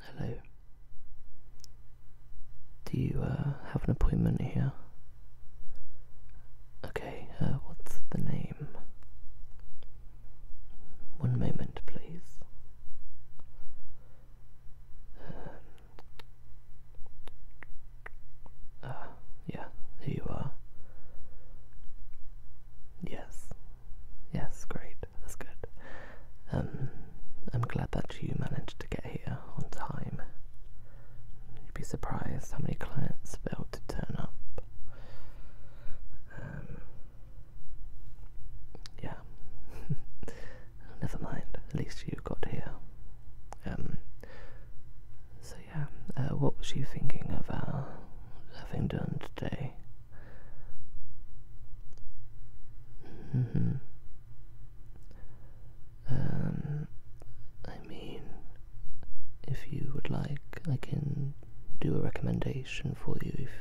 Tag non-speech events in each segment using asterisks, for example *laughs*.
Hello. Do you uh, have an appointment here? Okay, uh, what's the name? One moment, please. Um, uh, yeah, here you are. Yes. Yes, great. That's good. Um, I'm glad that you managed to get here on time. You'd be surprised how many clients failed to turn up. Um, yeah. *laughs* Never mind. At least you got here. Um, so yeah, uh, what was you thinking of uh, having done today? -hmm. Um, I mean, if you would like, I can do a recommendation for you if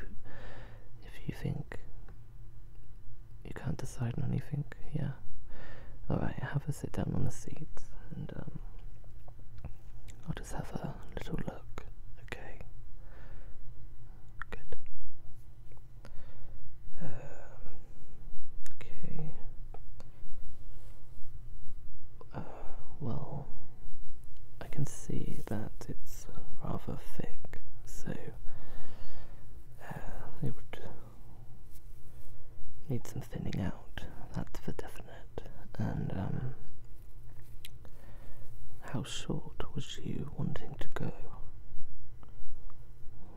if you think you can't decide on anything. Yeah. Alright, have a sit down on the seat and um, I'll just have a little look, okay? Good. Um, okay. Uh, well, I can see that it's rather thick, so uh, it would Need some thinning out, that's for definite. And um, how short was you wanting to go?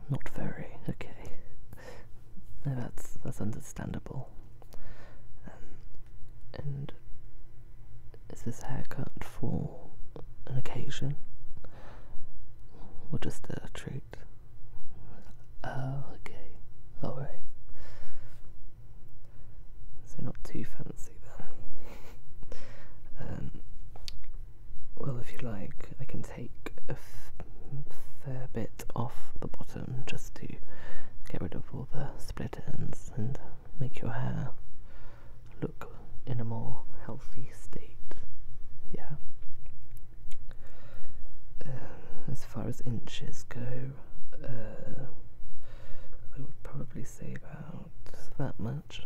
Not very, okay. No, that's that's understandable. Um, and is this haircut for an occasion or just a treat? okay, alright. So, not too fancy then. Um, well, if you like, I can take a fair bit off the bottom just to get rid of all the split ends and make your hair look in a more healthy state. Yeah. Um, as far as inches go, uh, I would probably say about that much.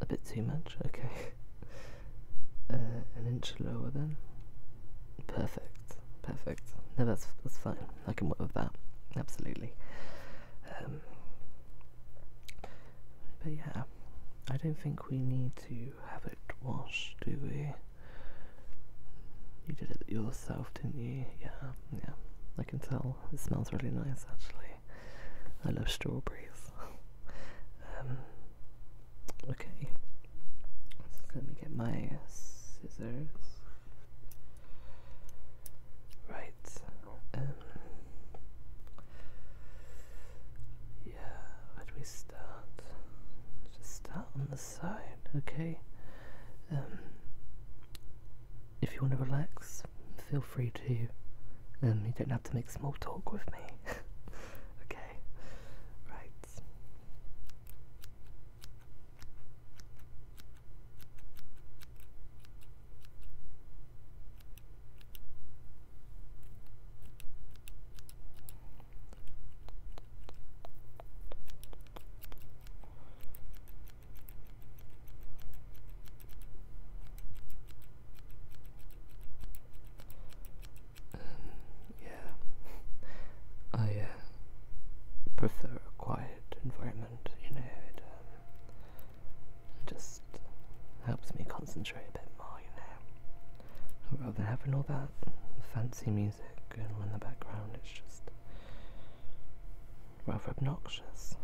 A bit too much, okay. *laughs* Uh, an inch lower then. Perfect, perfect. No, that's that's fine. I can work with that. Absolutely. Um, but yeah, I don't think we need to have it washed, do we? You did it yourself, didn't you? Yeah, yeah. I can tell. It smells really nice, actually. I love strawberries. Um, okay. let me get my scissors. Right. Um, yeah, where do we start? Just start on the side, okay? Um, if you want to relax, feel free to. Um, you don't have to make small talk with me. *laughs* okay, right. Um, yeah, I uh, prefer a quiet environment, you know, um, it Just helps me concentrate a bit more, you know. Rather than having all that fancy music going in the background, it's just rather obnoxious.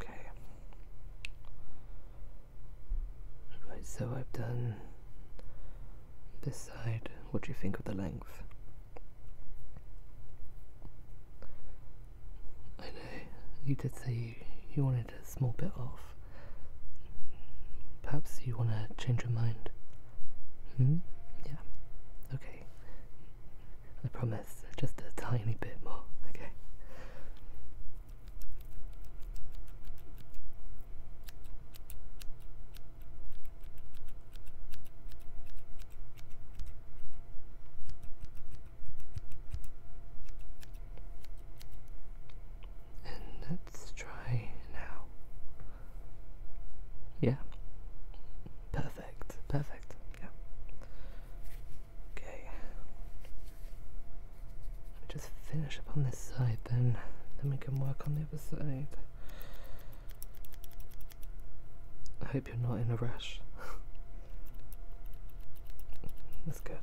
Okay. Right, so I've done this side. What do you think of the length? I know you did say you, you wanted a small bit off. Perhaps you want to change your mind. Hmm? Yeah. Okay. I promise, just a tiny bit more. Okay let's try now. Yeah. Perfect. Perfect. Yeah. Okay. Let me just finish up on this side then, then we can work on the other side. I hope you're not in a rush. *laughs* That's good.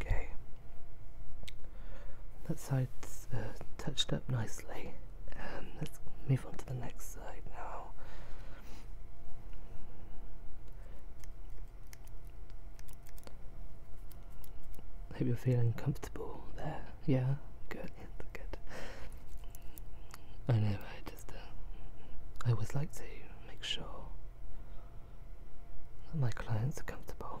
Okay, that side's uh, touched up nicely. Um, let's move on to the next side now. Hope you're feeling comfortable there. Yeah, good, good. I know. I just, uh, I always like to make sure that my clients are comfortable.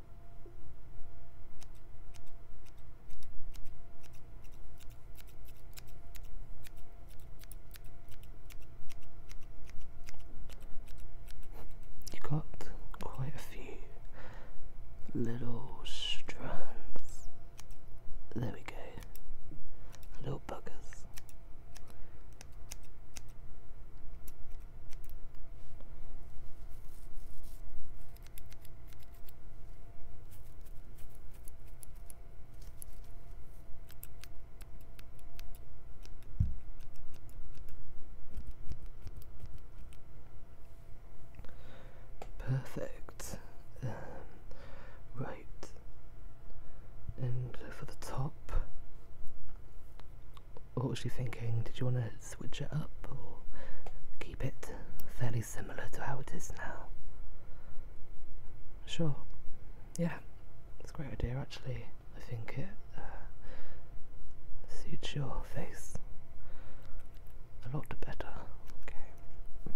You got quite a few little strands. There we go. Little buggers. Perfect. right. And for the top, what was she thinking? Did you want to switch it up or keep it fairly similar to how it is now? Sure. Yeah, it's a great idea actually. I think it uh, suits your face a lot better. Okay.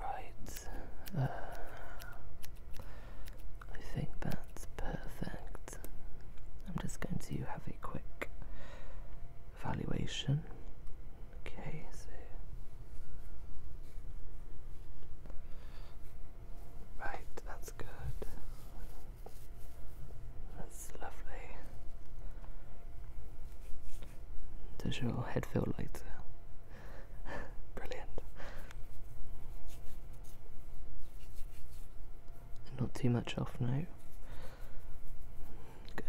Right. Uh, I think that's perfect. I'm just going to have a quick evaluation. Okay, Right, that's good lovely. Does your head feel lighter? *laughs* Brilliant. Not too much off now. Good.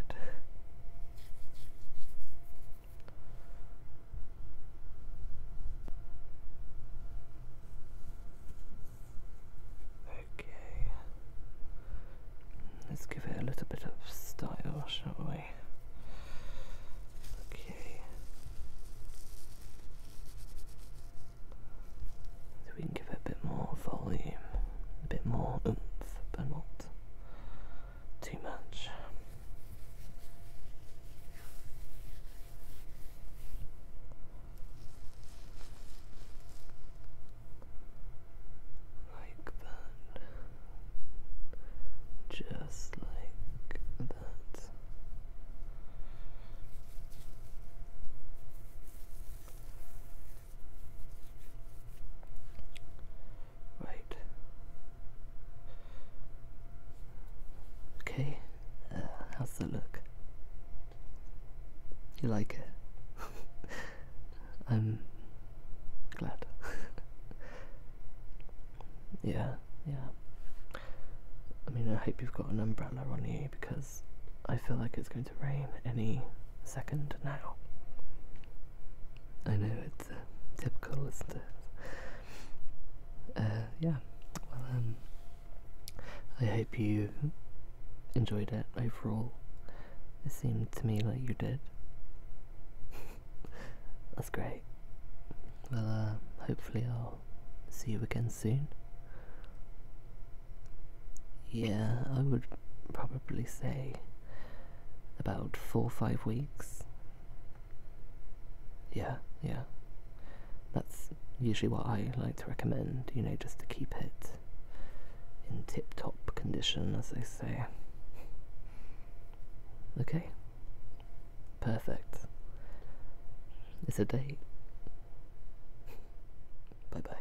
Okay. Let's give it a little bit of style, shall we? Okay. So we can give it a bit more volume, a bit more oomph, but not too much like that, just like that. Right. Okay, uh, how's the look? You like it? *laughs* I'm glad. *laughs* yeah, yeah. I mean, I hope you've got an umbrella on you because I feel like it's going to rain any second now. I know it's uh, typical, isn't it? Uh, yeah. Well, um, I hope you enjoyed it overall. It seemed to me like you did. *laughs* That's great. Well, uh, hopefully I'll see you again soon. Yeah, I would probably say about four or five weeks. Yeah, yeah. That's usually what I like to recommend, you know, just to keep it in tip top condition, as they say. Okay, perfect. It's a date. *laughs* Bye bye.